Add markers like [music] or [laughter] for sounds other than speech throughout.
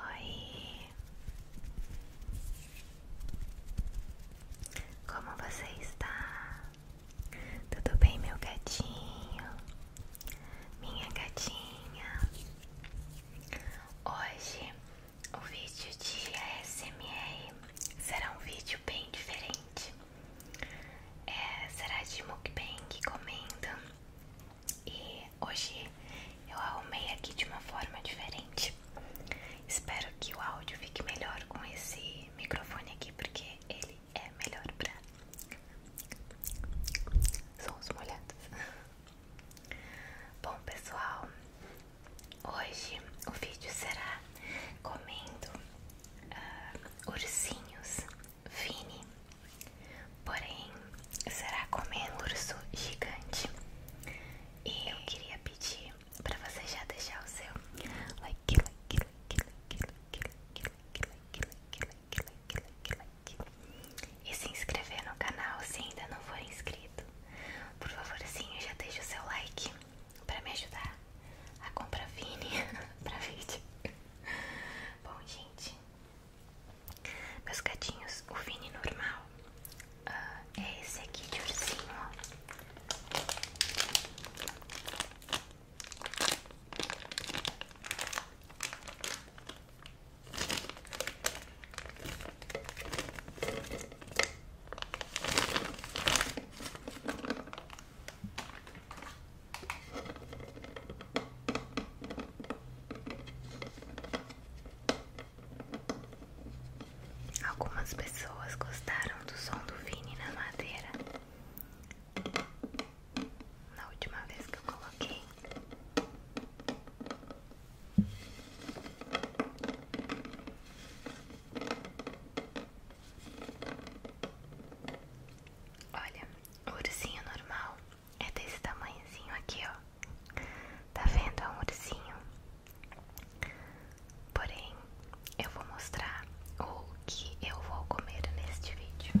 Oi, como você está? Tudo bem, meu gatinho? Minha gatinha? Hoje o vídeo de ASMR será um vídeo bem diferente. É, será de mukbang comendo e hoje eu arrumei aqui de uma forma diferente. Espero que o áudio fique melhor com esse microfone aqui, porque ele é melhor para sons molhados. Bom, pessoal, hoje o vídeo será comendo ah, ursinhos Vini. Porém, será comer urso gigante. E eu queria pedir para você já deixar o seu like, e se inscrever no canal se ainda não for inscrito. Por favorzinho, já deixa o seu like para me ajudar a comprar Vini para vídeo. Bom, gente, meus gatinhos, o Vini normal ah, é esse aqui de ursinho, Algumas pessoas gostaram do som do Vini na madeira. Na última vez que eu coloquei. Olha, ursinho normal é desse tamanhozinho aqui, ó. Tá vendo? É um ursinho. Porém, eu vou mostrar o que eu vou comer neste vídeo.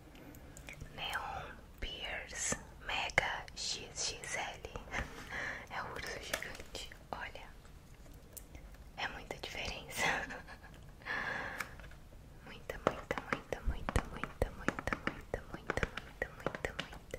Neon Pierce Mega XXL [laughs] É o urso gigante, olha É muita diferença [laughs] Muita, muita, muita, muita, muita, muita, muita, muita, muita, muita, muita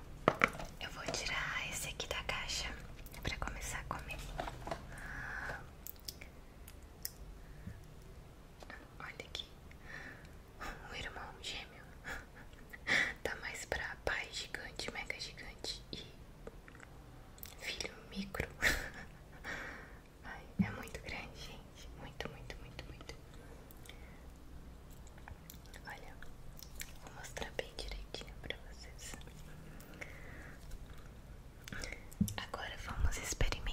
Eu vou tirar esse aqui da caixa para começar a comer. Ah, olha aqui, um irmão gêmeo tá mais pra pai gigante, mega gigante e filho micro. Ai, é muito grande, gente. Muito, muito, muito, muito. Olha, vou mostrar bem direitinho para vocês. Agora vamos experimentar.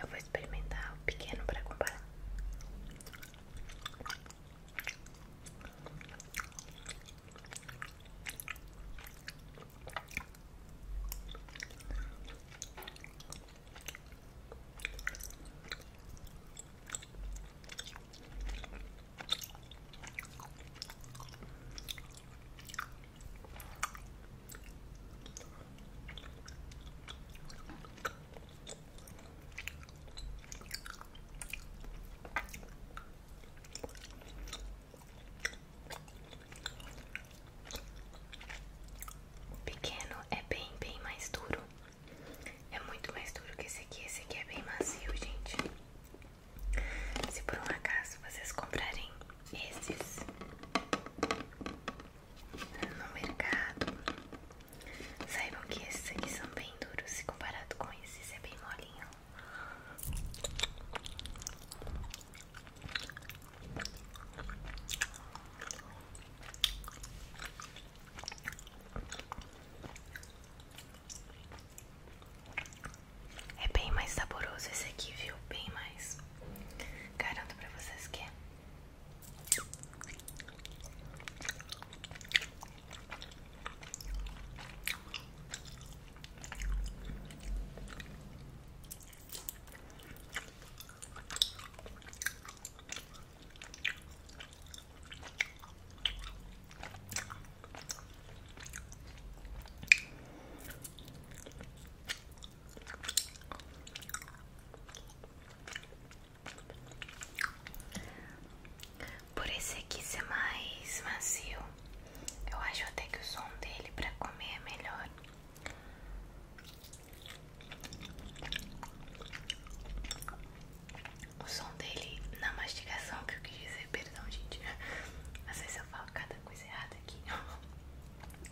Eu vou experimentar o pequeno para comparar pequeno é bem, bem mais duro. É muito mais duro que esse aqui. Esse aqui é bem macio, gente. Se por um acaso vocês comprarem esses no mercado. Saibam que esses aqui são bem duros se comparado com esses é bem molinho. É bem mais saboroso esse aqui, viu? Bem mais. Garanto pra vocês que é. Por esse aqui ser mais macio, eu acho até que o som dele para comer é melhor. O som dele na mastigação que eu quis dizer, perdão gente, às se eu falo cada coisa errada aqui.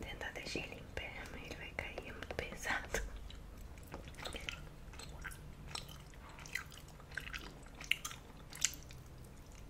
Tentar deixar ele em pé, mas ele vai cair, é muito pesado.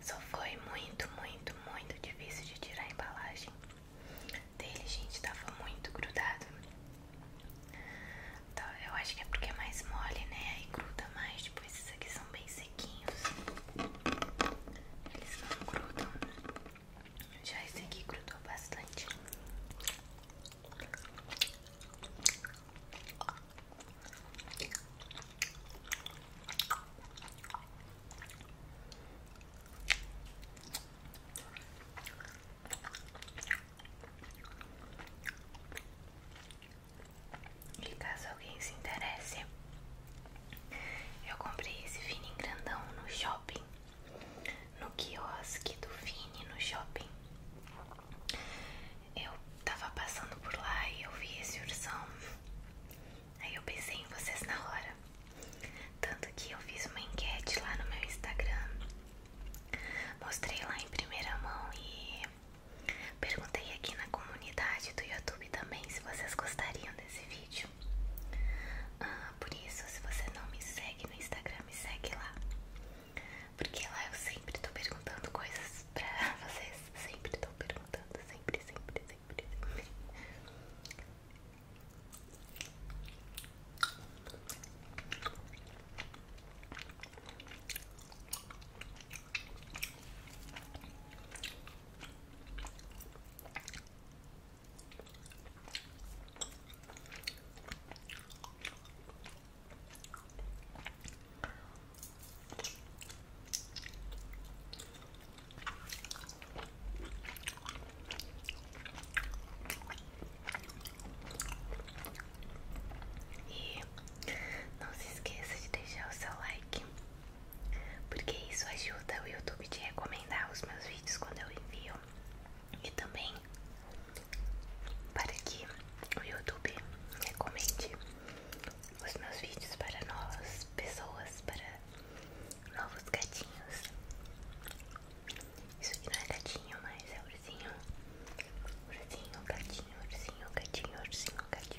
Só foi muito, muito, muito difícil de tirar a embalagem dele, gente. Tava muito grudado. Tá, eu acho que é porque é mais mole, né? Aí gruda mais. Depois, esses aqui são bem sequinhos. Eles não grudam. Já esse aqui grudou bastante. E caso alguém se interesse, eu comprei esse fininho grandão no shopping no quiosque do Fini no shopping. Eu tava passando por lá e eu vi esse ursão. Aí eu pensei em vocês na hora. Tanto que eu fiz uma enquete lá no meu Instagram. Mostrei lá em primeira mão e perguntei aqui na comunidade do YouTube também se vocês gostariam desse vídeo. Ah, por isso, se você não me segue no Instagram, me segue lá. Porque lá eu sempre tô perguntando coisas pra [laughs] vocês. Sempre tô perguntando, sempre, sempre, sempre, sempre. E não se esqueça de deixar o seu like, porque isso ajuda o YouTube a recomendar os meus vídeos quando eu envio e também para que o YouTube recomende os meus vídeos para novas pessoas, para novos gatinhos. Isso aqui não é gatinho, mas é ursinho. Ursinho, gatinho, ursinho, gatinho, ursinho, gatinho.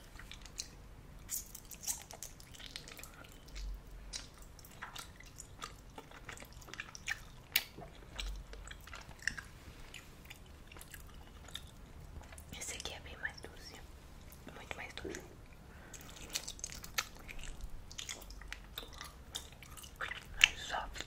Esse aqui é bem mais doce, muito mais doce. Mais soft.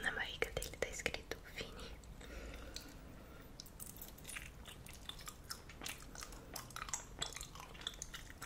Na barriga dele está escrito fini.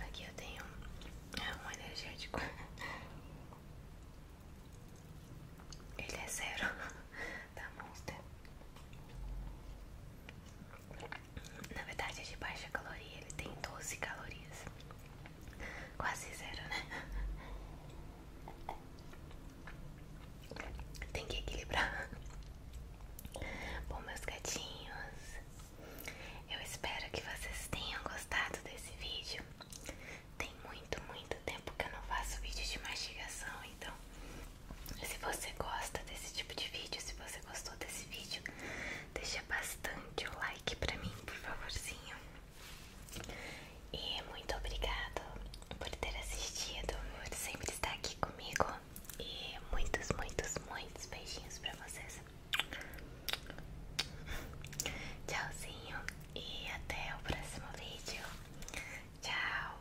Aqui eu tenho é, um energético. Ele é zero da [laughs] tá Monster. Na verdade é de baixa caloria, ele tem 12 calorias. Quase zero, né? Tem que equilibrar. Bom, meus gatinhos, eu espero que vocês tenham gostado desse vídeo. Tem muito, muito tempo que eu não faço vídeo de mastigação, então se você gosta desse tipo de vídeo, se você gostou desse vídeo. Deixa bastante o like pra mim, por favorzinho. E muito obrigado por ter assistido, por sempre estar aqui comigo. E muitos, muitos, muitos beijinhos pra vocês. Tchauzinho e até o próximo vídeo. Tchau.